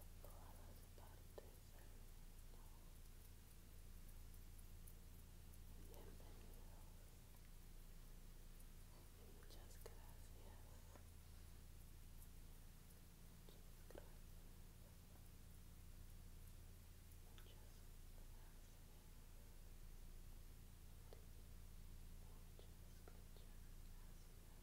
en todas las partes del mundo. Bienvenidos muchas gracias. Muchas gracias. Muchas gracias. Muchas, muchas gracias.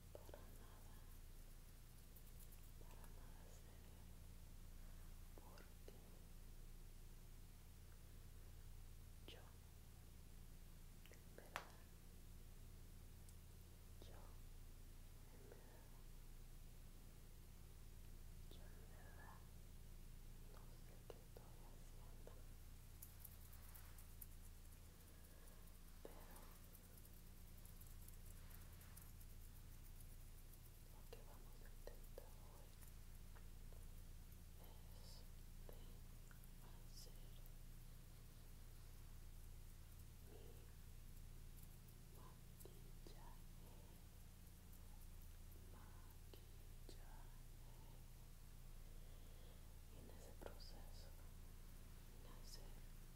para nada, para nada serio, porque yo, en verdad, yo, en verdad, yo en verdad no sé qué estoy haciendo pero lo que vamos a intentar hoy es de hacer mi maquillaje, maquillaje. Y en ese proceso, en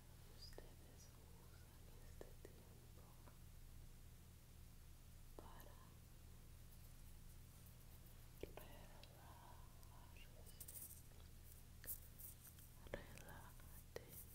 ustedes usan este tiempo para relajarse relájate relájate relájate y duerme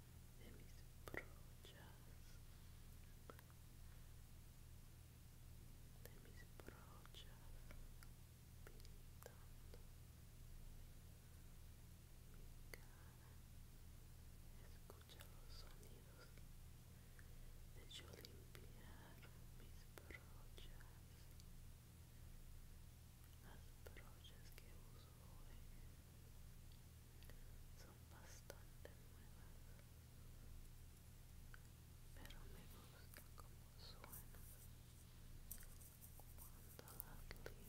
de mis brochas de mis brochas pintando mi cara escucha los sonidos de yo limpiar mis brochas las brochas que uso hoy son bastante nuevas pero me gusta como suena cuando las limpio cuando las limpio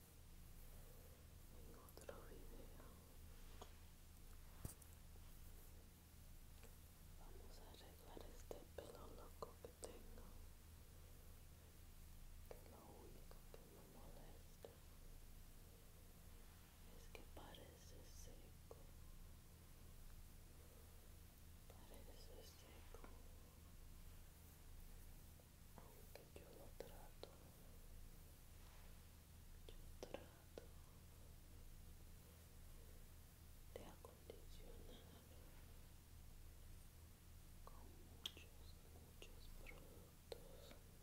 en otro video vamos a arreglar este pelo loco que tengo que lo único que me molesta es que parece seco parece seco aunque yo lo trato yo trato de acondicionar con muchos, muchos productos. merece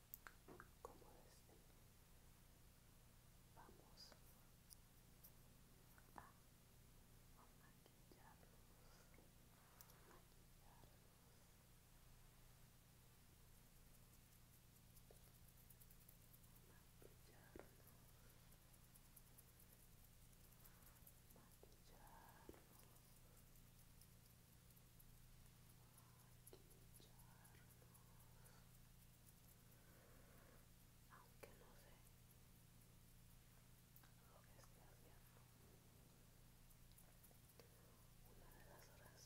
como este, vamos a maquillarlos, maquillarlos. aunque no sé lo que esté haciendo. Una de las razones que ahora tengo 23 años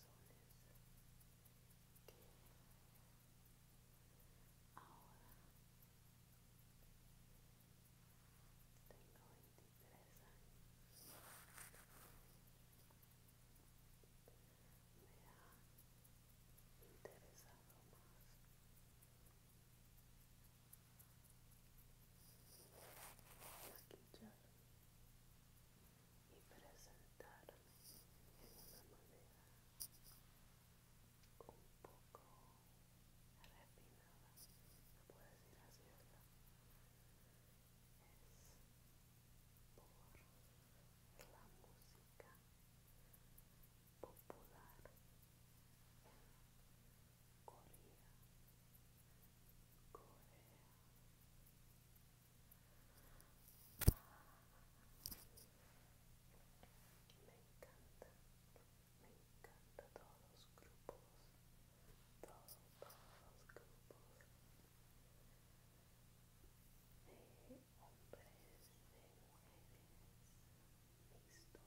me ha interesado más maquillarme y presentarme de una manera un poco refinada, se puede decir así, ¿verdad? por la música popular Corea. Corea. Me encanta, me encanta todos los grupos, todos, los grupos. hombres mixtos.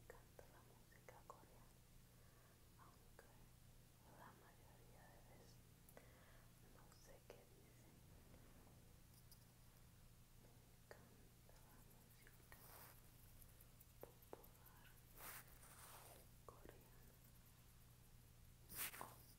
Me encanta la música coreana, aunque la mayoría de veces no sé qué dicen. Me encanta la música popular coreana.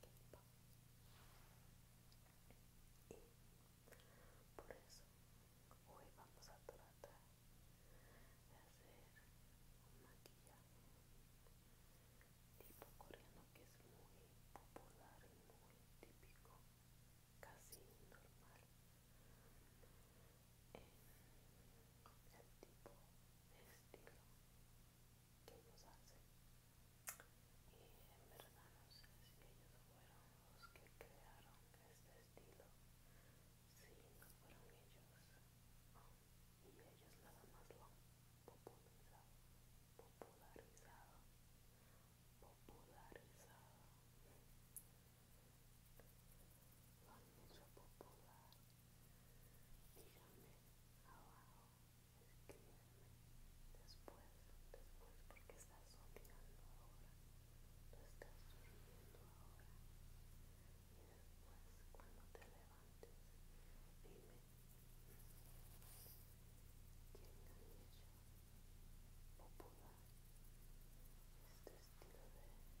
por eso hoy vamos a tratar de hacer un maquillaje tipo coreano que es muy popular y muy típico casi normal en el tipo estilo que nos hace y en verdad no sé si ellos fueron los que crearon este estilo si no fueron ellos y ellos nada más lo han popularizado popularizado popularizado lo han popular díganme abajo Después, después, porque estás soñando ahora, tú estás durmiendo ahora. Y después, cuando te levantes, dime, ¿quién ha hecho popular este estilo de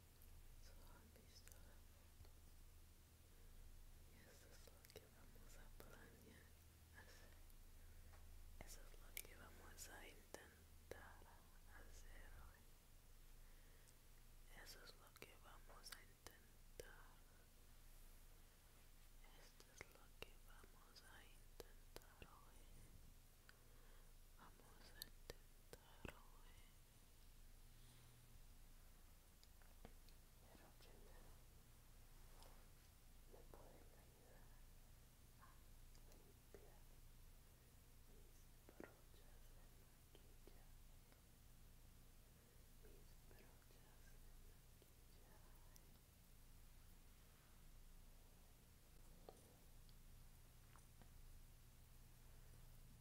eso es lo que vamos a planear hacer. Eso es lo que vamos a intentar hacer hoy. Eso es lo que vamos a intentar. Esto es lo que vamos a intentar hoy. Vamos a intentar hoy pero primero me pueden ayudar a limpiar mis brochas de maquillaje. Mis brochas de maquillaje.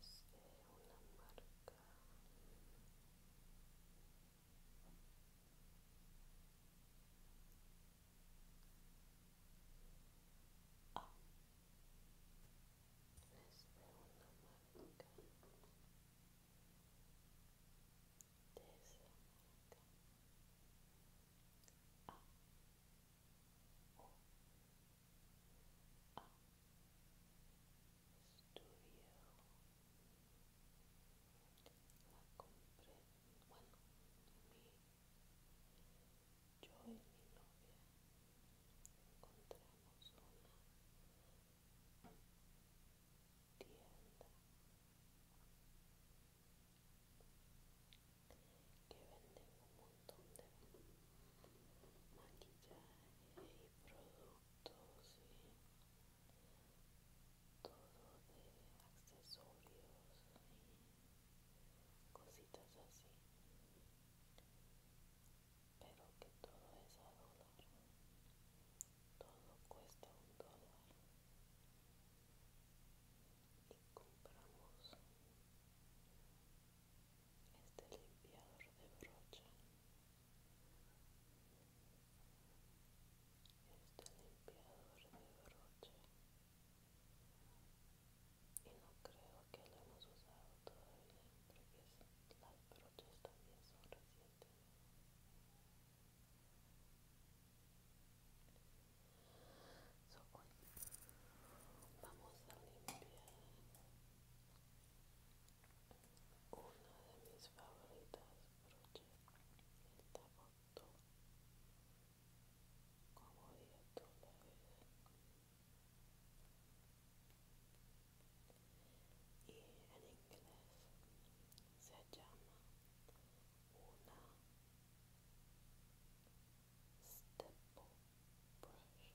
es de eh, una marca ah. es de una marca de esa marca ah. Oh. Ah la compré bueno yo y mi novia encontramos una tienda que vende un montón de maquillaje y productos todo de accesorios y cositas así pero que todo es a dólar todo cuesta un dólar y compramos este limpiador de brocha este limpiador de broche y no creo que lo hemos usado todavía porque las broches también son recientes vamos a limpiar una de mis favoritas broche el foto, como diría tú y en inglés se llama una Stipple brush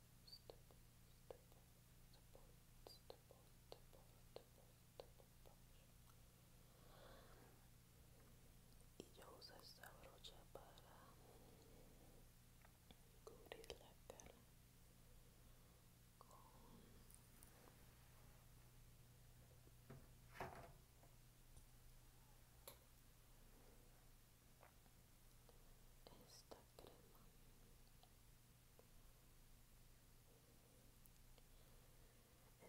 y yo uso esta brocha para cubrir la cara esta crema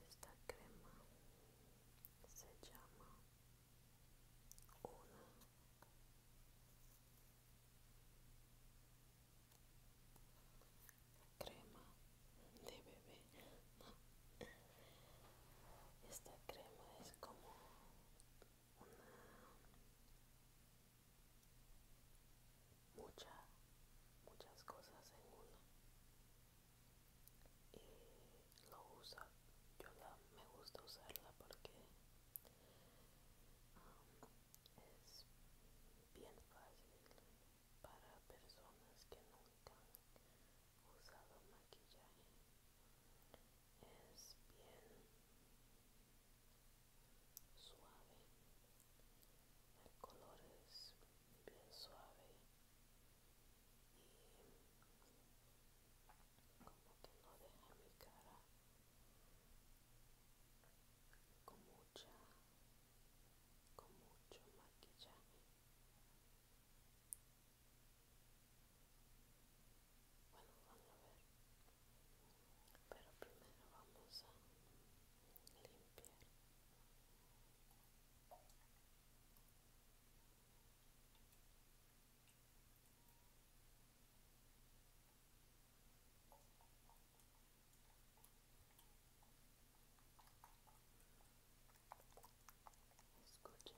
esta crema se llama una crema de bebé esta crema es como una, mucha, muchas cosas en una y lo usa yo la, me gusta usarla porque um, es bien fácil para personas que nunca han usado maquillaje es bien suave el color es bien suave y como que no deja mi cara con mucha con mucho maquillaje bueno, vamos a ver. Pero primero vamos a limpiar. Escuchen.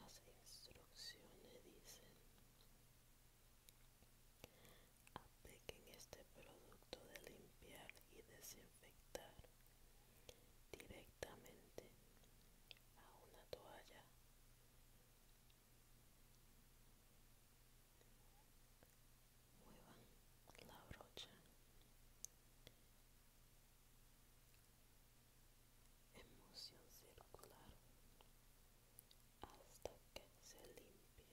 las instrucciones dicen apliquen este producto de limpiar y desinfectar directamente a una toalla muevan la brocha en circular hasta que se limpie.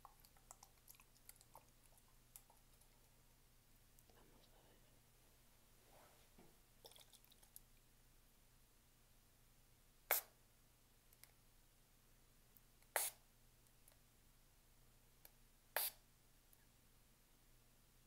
Vamos a ver.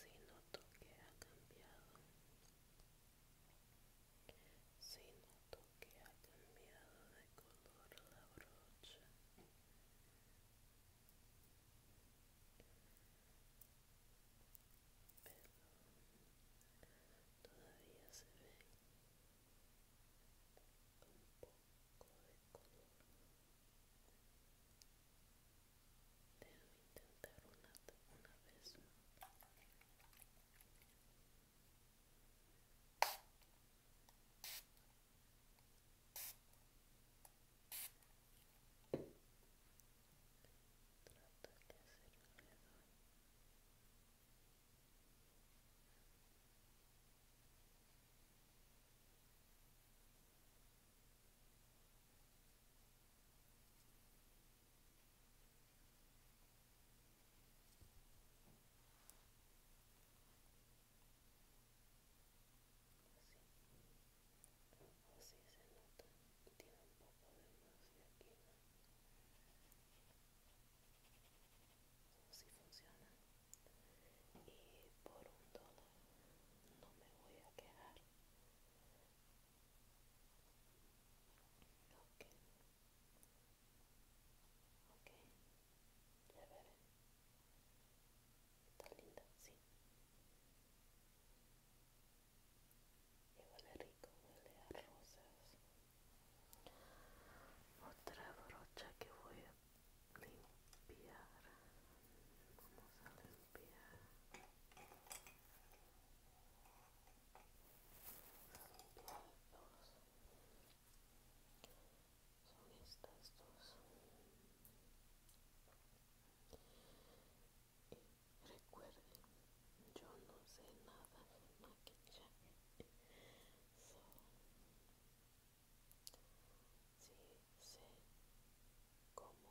Si noto que ha cambiado si noto que ha cambiado de color la brocha, pero todavía se ve un poco de color intentar una, vez Trato de ser Así se nota, tiene un poco de más de aquí, ¿no? Así funciona. Y por un dólar no me voy a quedar Okay. Ok, ya bebe. Está linda, sí. Y huele rico, huele a rosas. Otra brocha que voy a limpiar. Vamos a limpiar son estas dos recuerden yo no sé nada de maquillaje so, sí sé cómo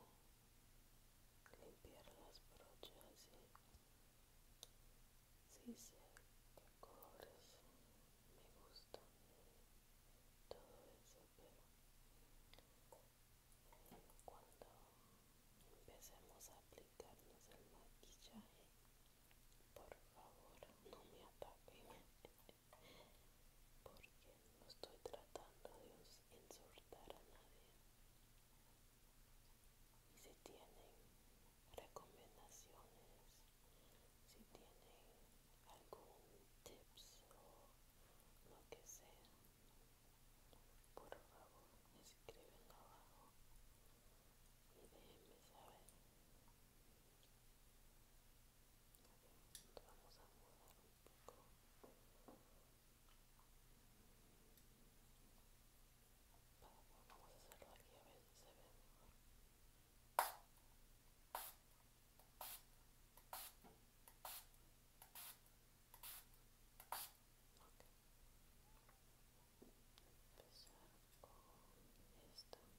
limpiar las brochas y Sí sé que colores me gustan todo eso, pero cuando empecemos a aplicarnos el maquillaje, por favor no me ataquen porque no estoy tratando de insultar a nadie y si tienen recomendaciones, si tienen algún tips o lo que sea, por favor escríbenlo abajo y déjenme saber. vamos a mudar un poco. Vamos a hacerlo aquí a ver si se ve mejor. Okay. Empezar con esto. Vamos a ver.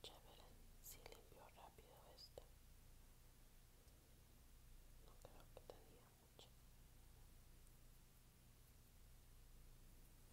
Chévere, si limpió rápido esto. No creo que tenía mucho.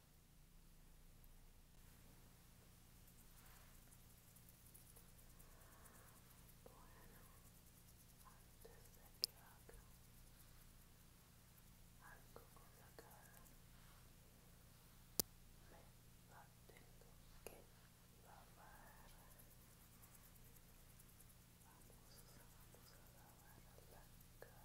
Bueno, antes de que haga algo con la cara, me la tengo que lavar. Vamos, vamos a lavar la cara.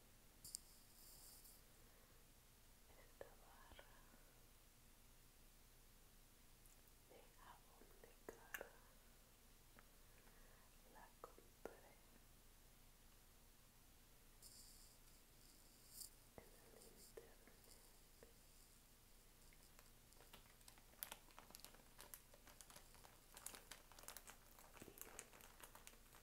esta barra de de cara la compré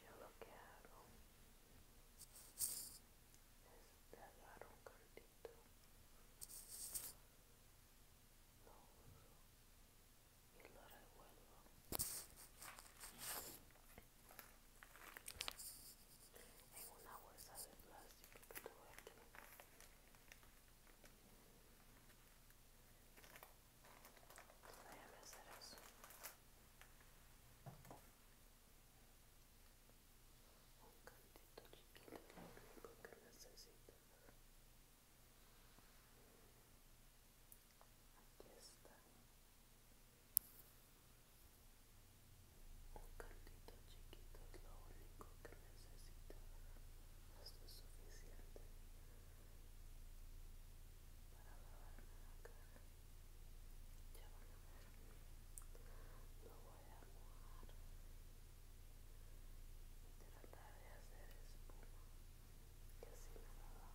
yo lo que hago es pegar un cartito, lo uso y lo revuelvo en una bolsa de plástico que tuve aquí Déjame hacer eso un cantito chiquito es lo único que necesito aquí está un cantito chiquito es lo único que necesito esto es suficiente para lavarme la cara ya van a ver. Lo voy a mojar y tratar de hacer espuma. que así me lo dado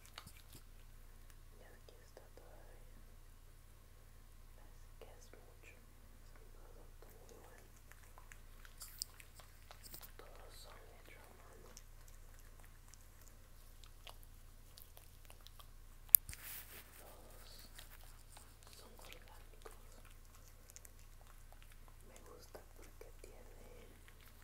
Y aquí está todavía. es que es mucho. Es un producto muy bueno. Todos son hechos a mano. Todos son orgánicos. Me gusta porque tiene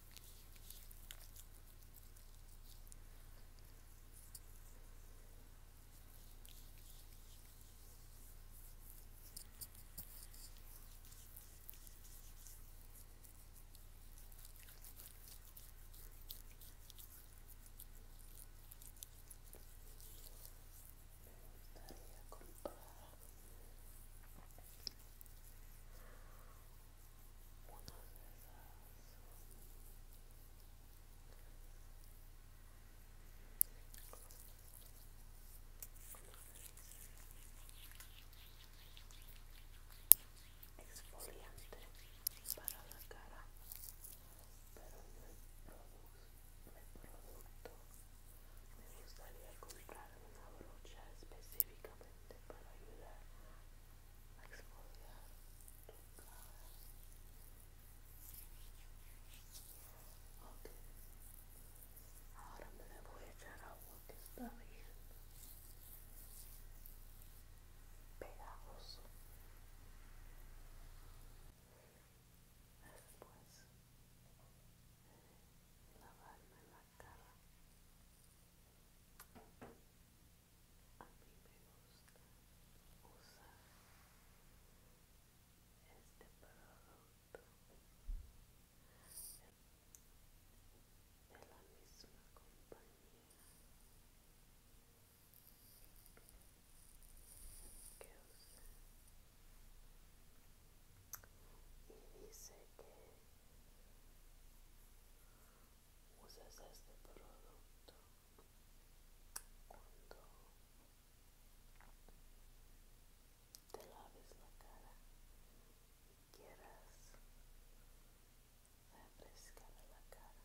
Me gustaría comprar unos exfoliante para la cara pero no producto me gustaría comprar una brocha específicamente para ayudar a exfoliar tu cara. Ok, ahora me le voy a echar agua que está bien pegajosa. Después lavarme la cara. A mí me gusta usar este producto de la misma compañía que usa y dice que usas este producto cuando te laves la cara y quieras refrescar la cara.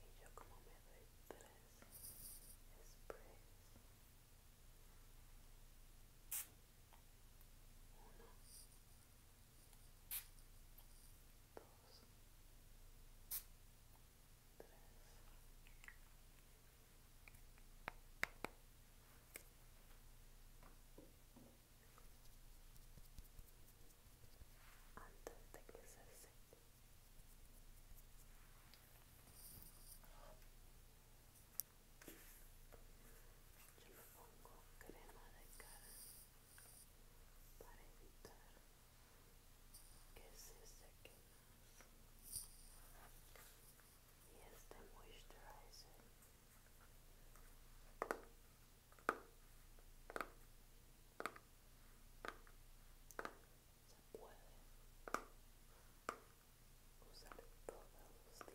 Y yo como me doy tres sprays. Uno, dos, tres antes de que se seque yo pongo crema de cara para evitar que se seque y este moisturizer se puede usar todos los días.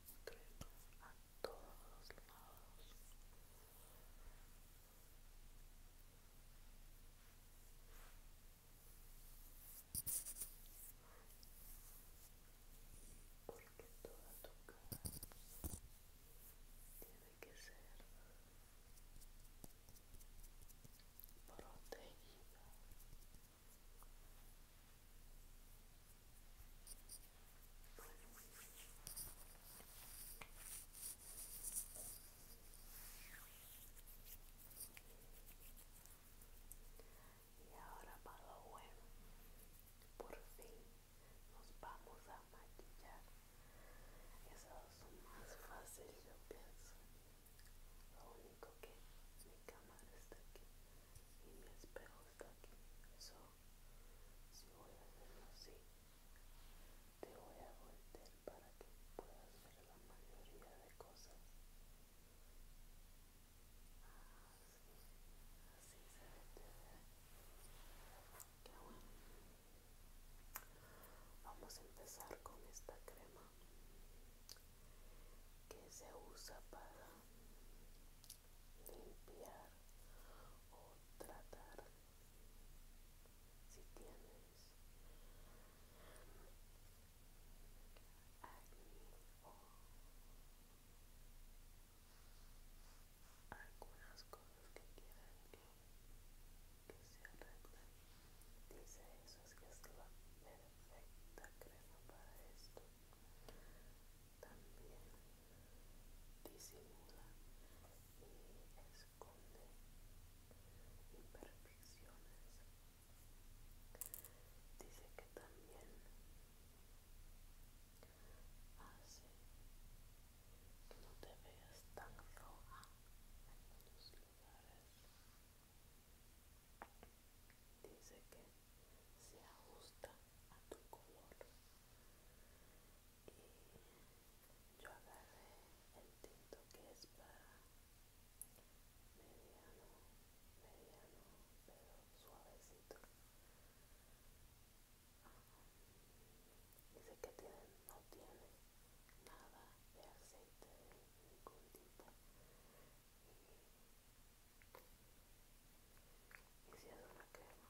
concreto a todos lados. Porque toda tu cara tiene que ser protegida y ahora para bueno por fin nos vamos a maquillar. Eso es más fácil, yo pienso. Lo único que mi cámara está aquí y mi espejo está aquí si voy a hacerlo así te voy a voltear para que puedas ver la mayoría de cosas así, se ve vamos a empezar con esta crema que se usa para limpiar o tratar si tienes o algunas cosas que quieran que, se arreglen dice eso es que es la perfecta creo para esto también disimula y esconde imperfecciones. Dice que también hace que no te veas tan roja en algunos lugares. Dice que se ajusta a tu color y yo agarré el tinto que es para mediano mediano pero suavecito dice que tiene, no tiene nada de aceite de ningún tipo y, y una crema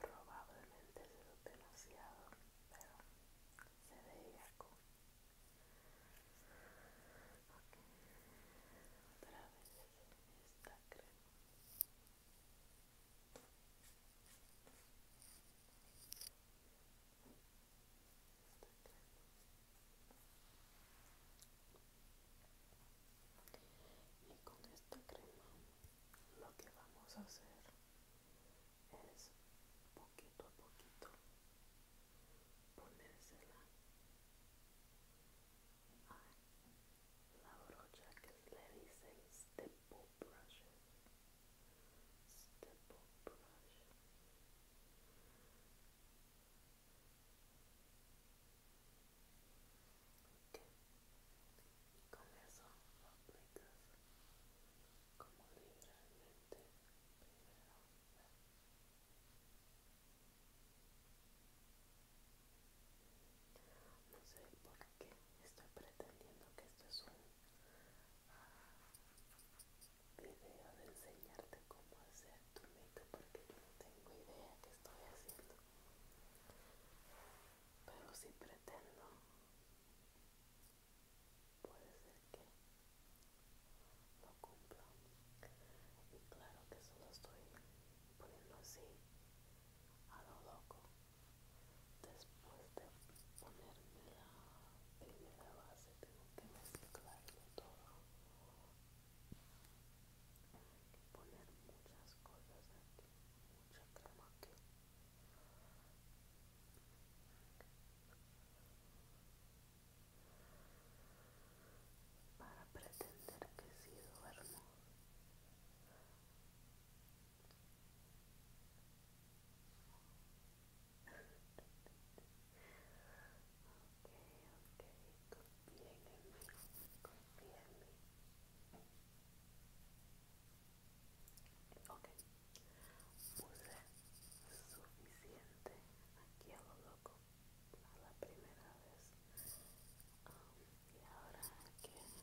Probablemente se lo demasiado, pero se veía con Otra vez Esta crema. Y con esta crema lo que vamos a hacer es poquito a poquito ponérsela a la brocha que le dicen stipple brush up brush y con eso lo aplicas como liberalmente no sé por qué estoy pretendiendo que esto es un video de enseñarte cómo hacer tu make porque yo no tengo idea que estoy haciendo pero si pretendo puede ser que no cumpla y claro que solo estoy poniendo así a lo loco después de ponerme la primera base tengo que mezclarlo todo poner muchas cosas aquí mucha crema aquí para pretender que sí duermo. ok, ok, confía en Ok, puse suficiente aquí a lo loco a la primera vez ah, y ahora aquí.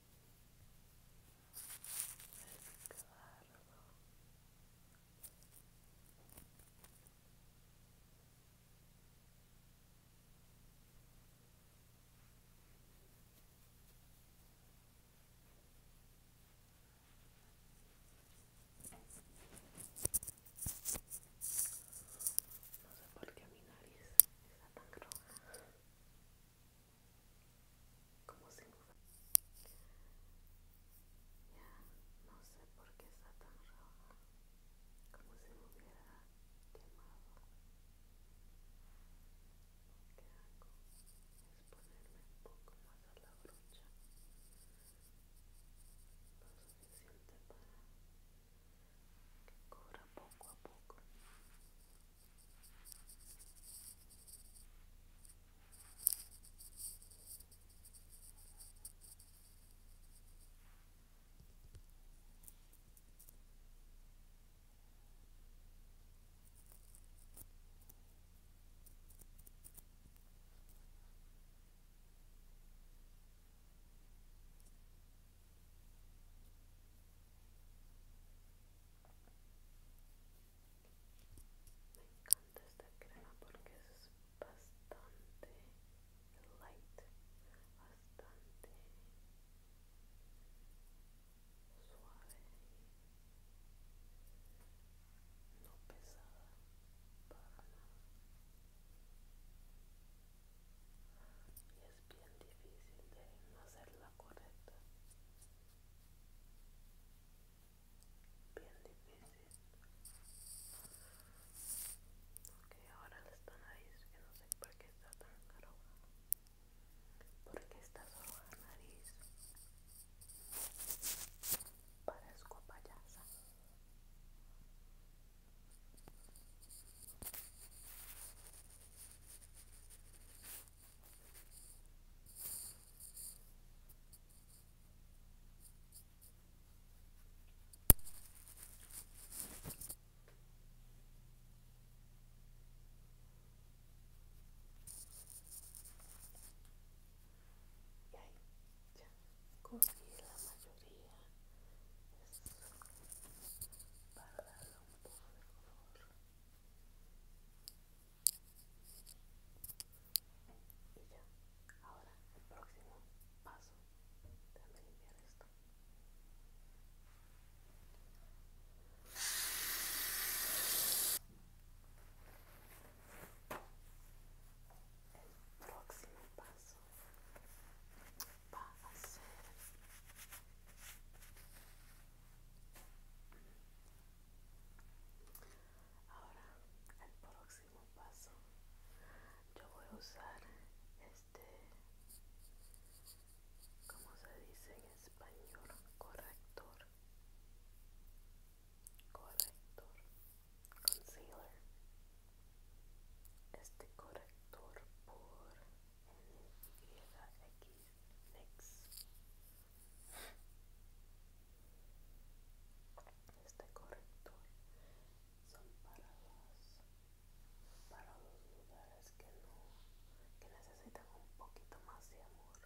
No sé por qué mi nariz está tan roja como si ya no sé por qué está tan roja como si me hubiera quemado lo que hago es ponerme un poco más a la brocha lo suficiente para cobra poco a poco me encanta esta crema porque es bastante light, bastante suave, no pesada para nada. Y es bien difícil de no hacerla Bien difícil. Ok, ahora esta nariz que no sé por qué está tan caro ¿Por qué está solo la nariz? Parezco payasa. Y ahí ya cogí la mayoría es para darle un poco de color y ya, ahora el próximo paso, déjame limpiar esto. El próximo paso va a Ahora, el próximo paso, yo voy a usar este, ¿Cómo se dice en español, corrector, corrector, concealer. Este corrector por NYX este corrector son para los, para los lugares que necesitan un poquito más de amor.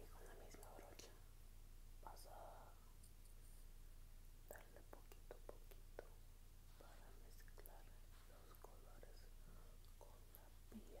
y con la misma brocha vas a darle poquito a poquito para mezclar los colores con la piel con la piel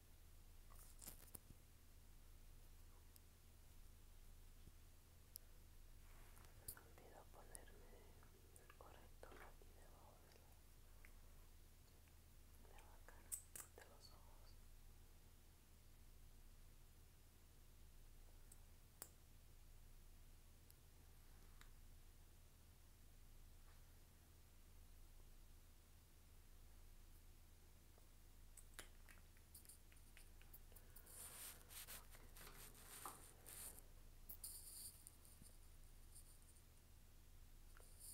No me ponerme el corrector aquí debajo de la, los ojos.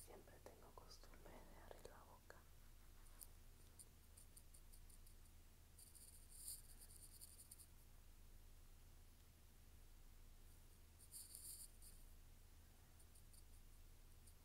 Siempre tengo costumbre de abrir la boca.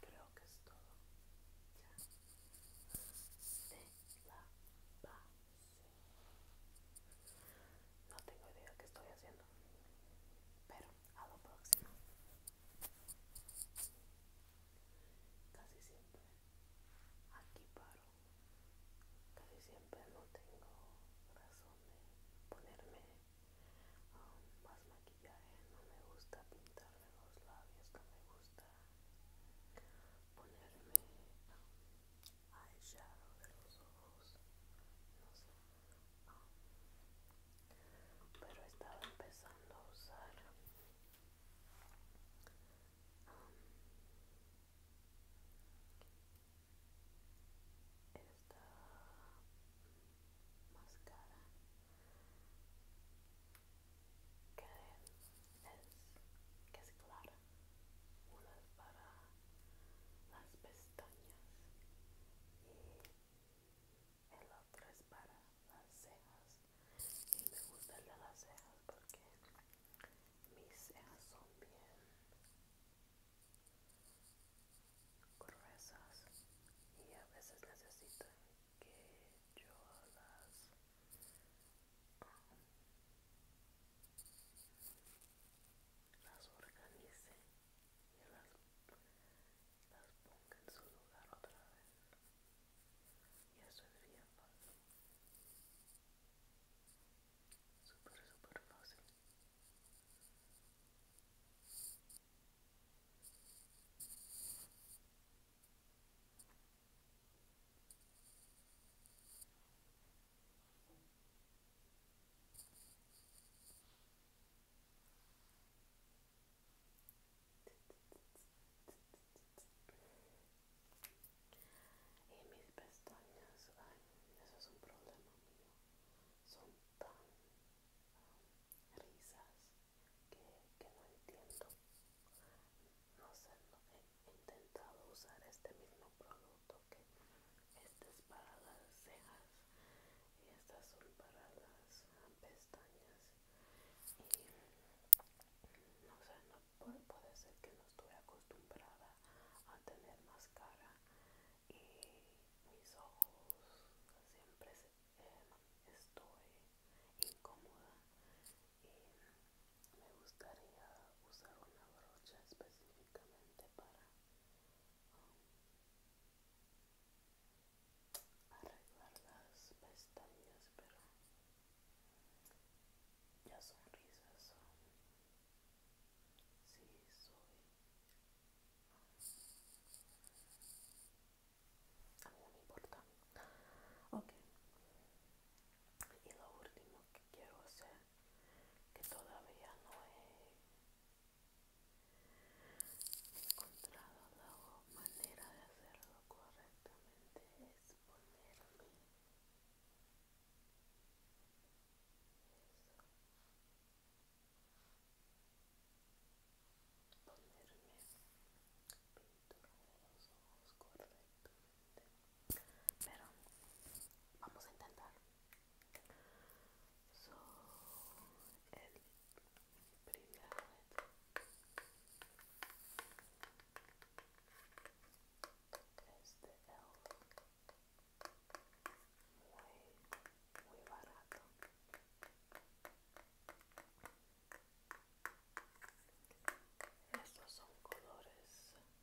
Creo que es todo ya de la base. No tengo idea qué estoy haciendo, pero a lo próximo. Casi siempre aquí paro, casi siempre pero no tengo razón de ponerme um, más maquillaje, no me gusta pintarme los labios, no me gusta ponerme um, eye shadow de los ojos, no sé. Um, pero estaba empezando a usar esta máscara que es, que es clara una es para las pestañas y el otro es para las cejas y me gusta el de las cejas porque mis cejas son bien gruesas y a veces necesitan que yo las las organice y las, las ponga en su lugar otra vez y eso es bien fácil super súper fácil y mis pestañas, eso es un problema mío. Son tan risas que, no entiendo no sé he intentado usar este mismo producto que este es para las cejas y estas son para las pestañas y no sé no puede, ser que no estoy acostumbrada a tener máscara y mis ojos siempre em, estoy incómoda y me gustaría usar una brocha específicamente para um, arreglar las pestañas pero ya son risas Sí, soy. A no me importa. Ok. Y lo último que quiero hacer, que todavía no he encontrado la manera de hacerlo correctamente, es ponerme ponerme pintura de los ojos correctamente pero vamos a intentar so, el primer es de L muy, muy barato. Estos son colores desnudos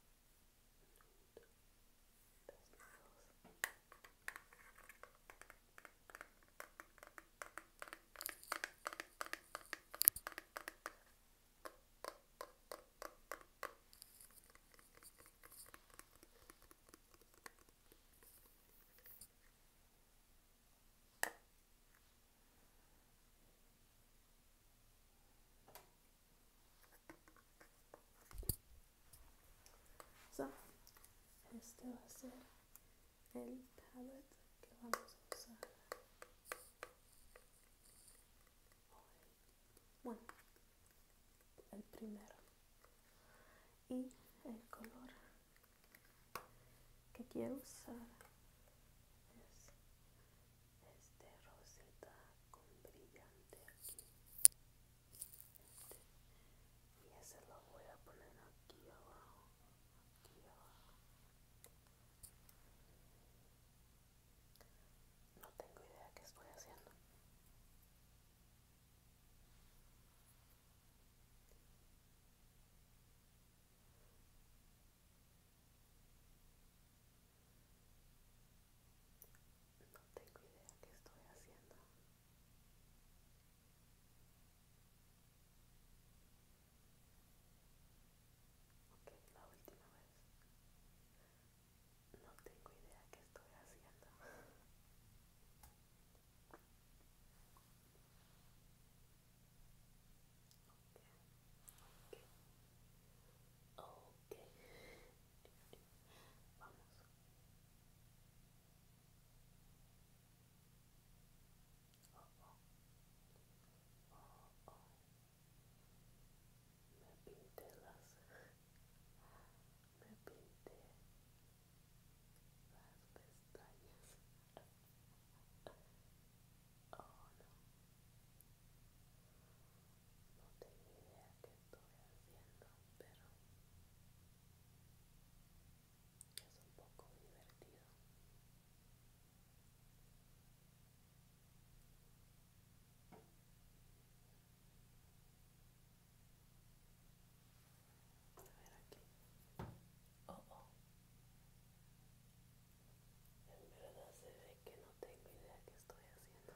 este va a ser el palette que vamos a usar. Bueno, el primero y el color que quiero usar es este rosita con brillante aquí este. y ese lo voy a poner aquí abajo abajo no tengo idea qué estoy haciendo no tengo idea qué estoy haciendo. Ok, la última vez. No tengo idea qué estoy haciendo. Okay. Okay. Okay. Vamos. Oh, oh. Oh, oh. Me pinté las me pinté las pestañas oh no no tengo idea qué estoy haciendo pero es un poco divertido a ver aquí. Oh, En verdad se ve que no tengo idea qué estoy haciendo.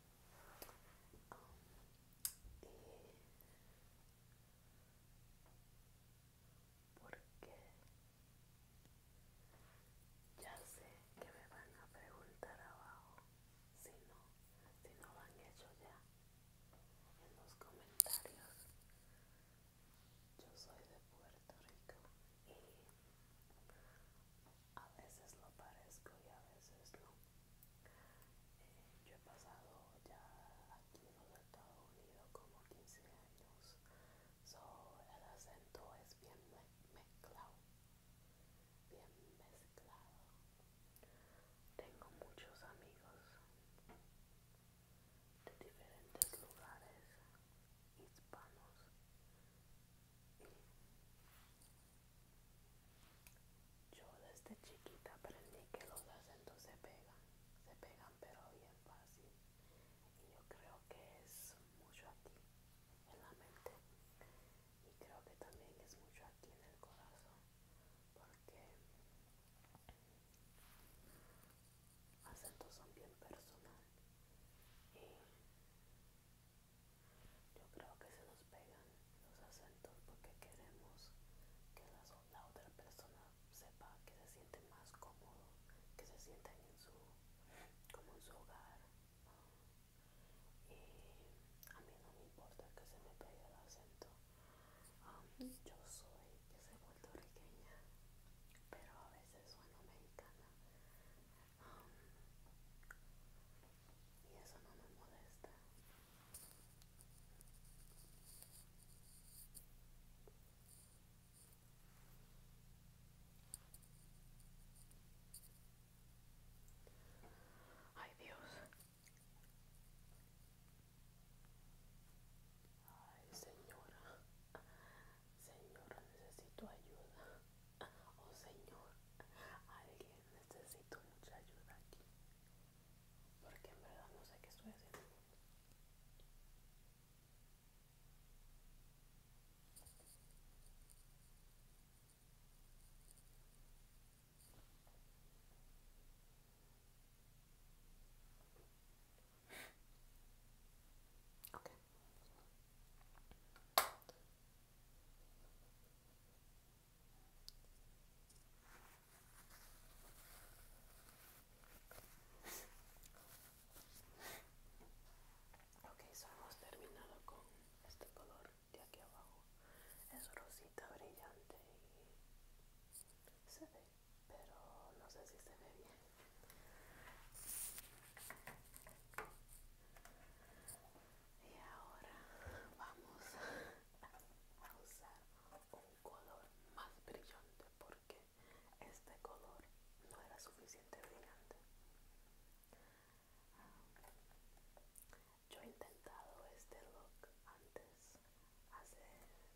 y porque ya sé que me van a preguntar abajo si no, si no lo han hecho ya en los comentarios. Yo soy de Puerto Rico y a veces lo parezco y a veces no yo he pasado ya aquí en los Estados Unidos como 15 años, so el acento es bien mezclado, bien mezclado. Tengo muchos amigos de diferentes lugares hispanos yo desde chiquita aprendí que los acentos se pegan, se pegan pero bien fácil. Y yo creo que es mucho aquí, en la mente. Y creo que también es mucho aquí en el corazón. Porque acentos son bien personal. Y yo creo que se nos nos pegan los acentos porque queremos que la, otra persona sepa que se siente más cómodo, que se siente en su, como en su hogar. Y a mí no me importa que se me pegue el acento. yo soy, yo soy puertorriqueña, pero a veces sueno mexicana y eso no me molesta. Ay Dios. Ay señora. Señora, necesito ayuda. Oh señor, alguien necesito mucha ayuda aquí porque en verdad no sé qué estoy haciendo. Ok, so hemos terminado con este color de aquí abajo. Es rosita brillante y se ve, pero no sé si se ve bien. Y ahora vamos a usar un color más brillante porque este color no era suficiente brillante. Yo he intentado este look antes, hace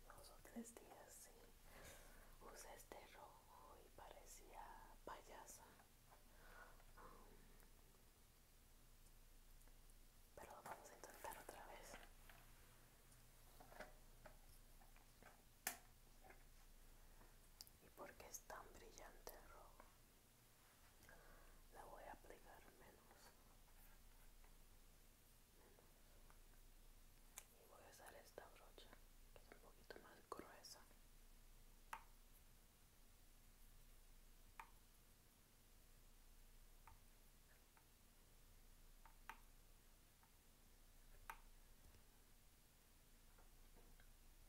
dos o tres días y usé este rojo y parecía payasa. Pero lo vamos a intentar otra vez. ¿Y porque es tan brillante el rojo? La voy a aplicar menos. menos. Y voy a usar esta brocha, que es un poquito más gruesa.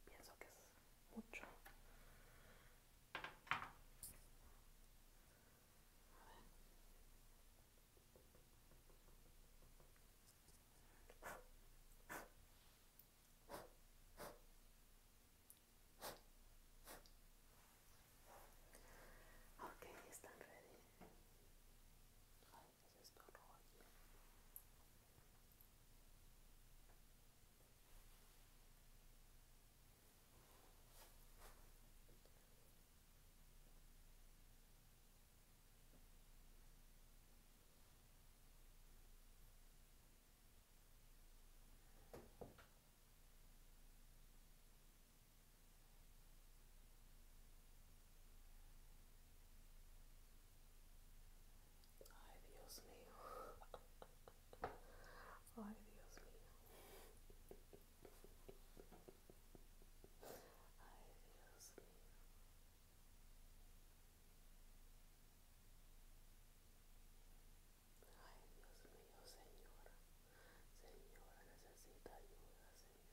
Pienso que es mucho. Ok, están ready. Ay, Dios mío. Ay, Dios mío. Ay, Dios mío. Ay, Dios mío, señora. Señora, necesita ayuda, señora. Ay, Dios mío.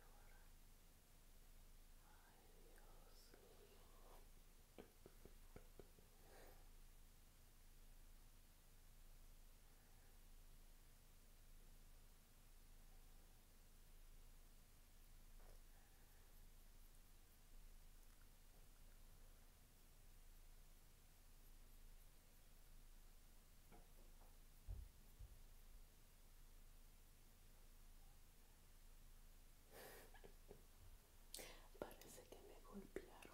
Parece que me golpearon.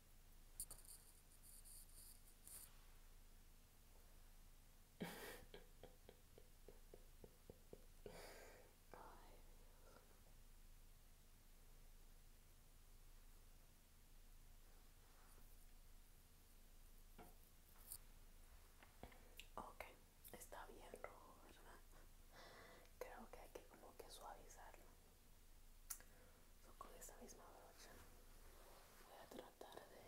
Okay, está bien rojo, ¿verdad? Creo que hay que como que suavizarlo con esa misma brocha voy a tratar de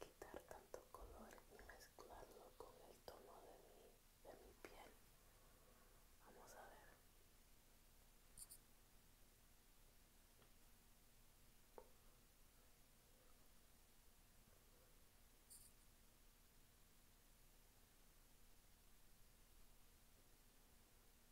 quitar tanto color y mezclarlo con el tono de de mi piel. Vamos a ver.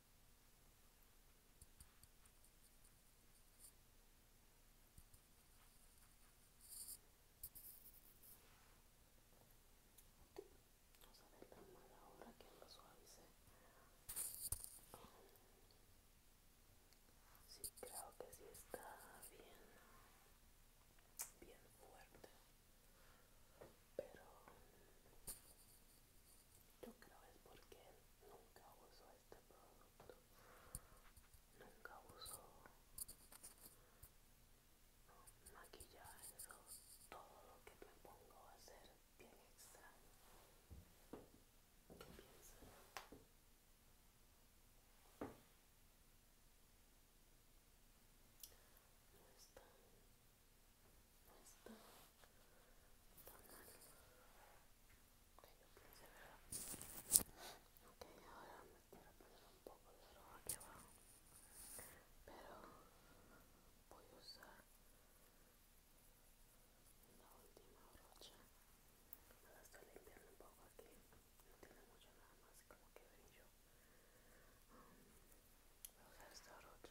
No se ve tan mal ahora que lo suavice. Sí, creo que sí está bien, bien fuerte, pero yo creo es porque nunca uso este producto. Nunca uso maquillaje. Todo lo que me pongo a ser bien extraño. ¿Qué piensan? No esto tomando que yo piense verdad ok ahora me quiero poner un poco de ropa aquí abajo pero voy a usar la última brocha la estoy limpiando un poco aquí no tiene mucho nada más como que brillo yo voy a usar esta brocha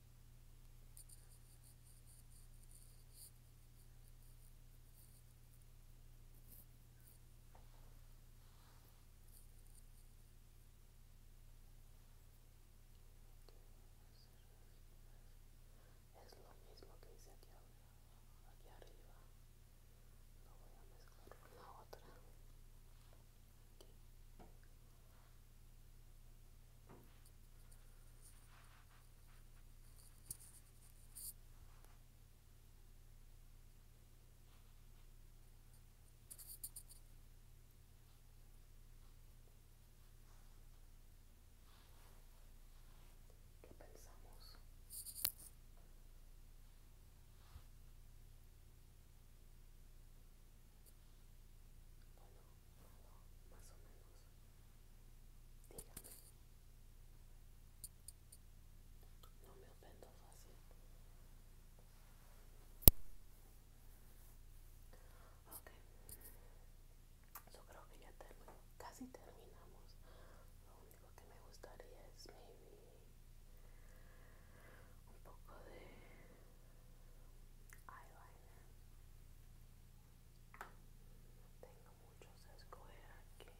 Es lo mismo que hice aquí arriba, aquí arriba. Lo voy a mezclar con la otra. ¿Qué pensamos? Bueno, bueno más o menos. Dígame. No me ofendo fácil. Ok. Yo creo que ya termino. Casi terminamos. Lo único que me gustaría es maybe un poco de eyeliner. Tengo muchos a escoger aquí.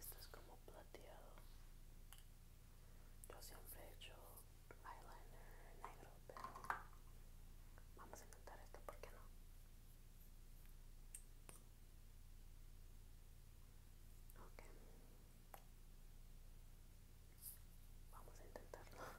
Esto es como plateado. Yo siempre he hecho eyeliner negro, vamos a intentar esto, ¿por qué no? Vamos a intentarlo. A ver.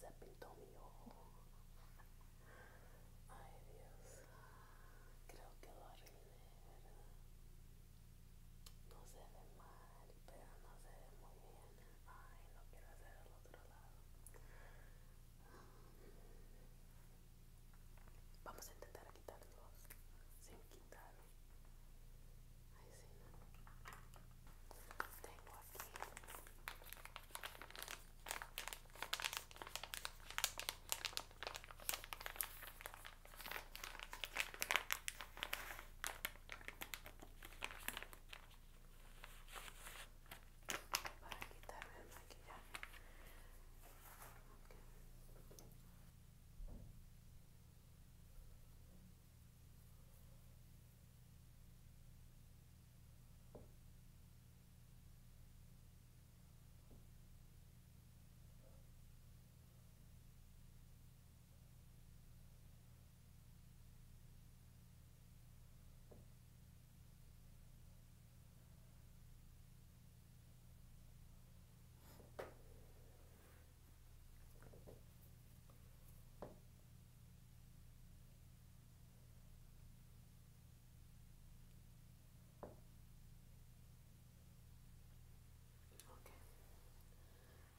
se pintou meu ouro. Ay Dios, creo que lo arruiné, ¿verdad? No se ve mal, pero no se ve muy bien. ay lo quiero hacer al otro lado vamos a intentar quitarlos sin quitar ay sí tengo aquí para quitarme el maquillaje. Ok,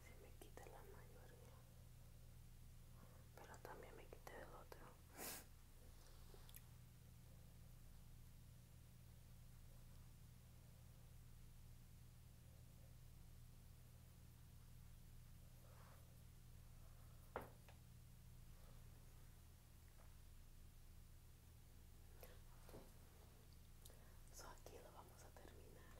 se me quita la mayoría, pero también me quité el otro solo aquí lo vamos a terminar.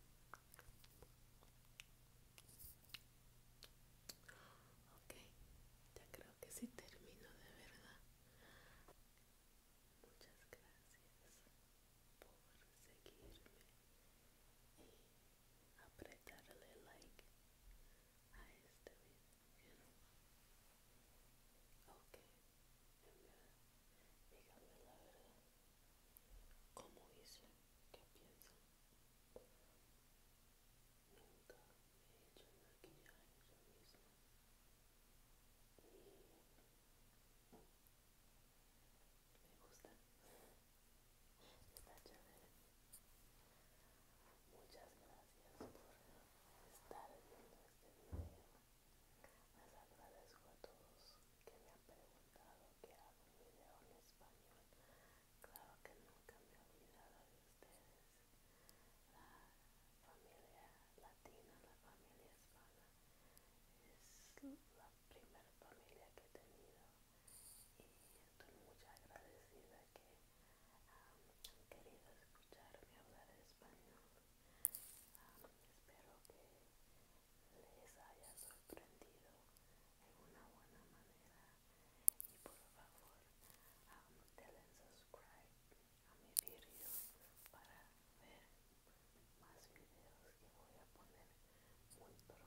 Ok, ya creo que sí termino de verdad. Muchas gracias por seguirme y apretarle like a este video. Ok, en verdad, la verdad. ¿Cómo hice qué pienso Nunca he hecho yo misma. Y me gusta. Muchas gracias por estar viendo este video. Les agradezco a todos que me han preguntado que hago un video en español. Claro que nunca me he olvidado de ustedes. La familia latina, la familia hispana, es la primera familia que he tenido y estoy muy agradecida que um, han querido escucharme hablar español. Um, espero que les haya sorprendido en una buena manera y por favor denle subscribe a mi vídeo para ver más videos que voy a poner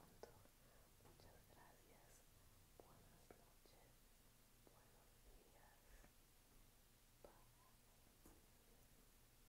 muy pronto muchas gracias buenas noches buenos días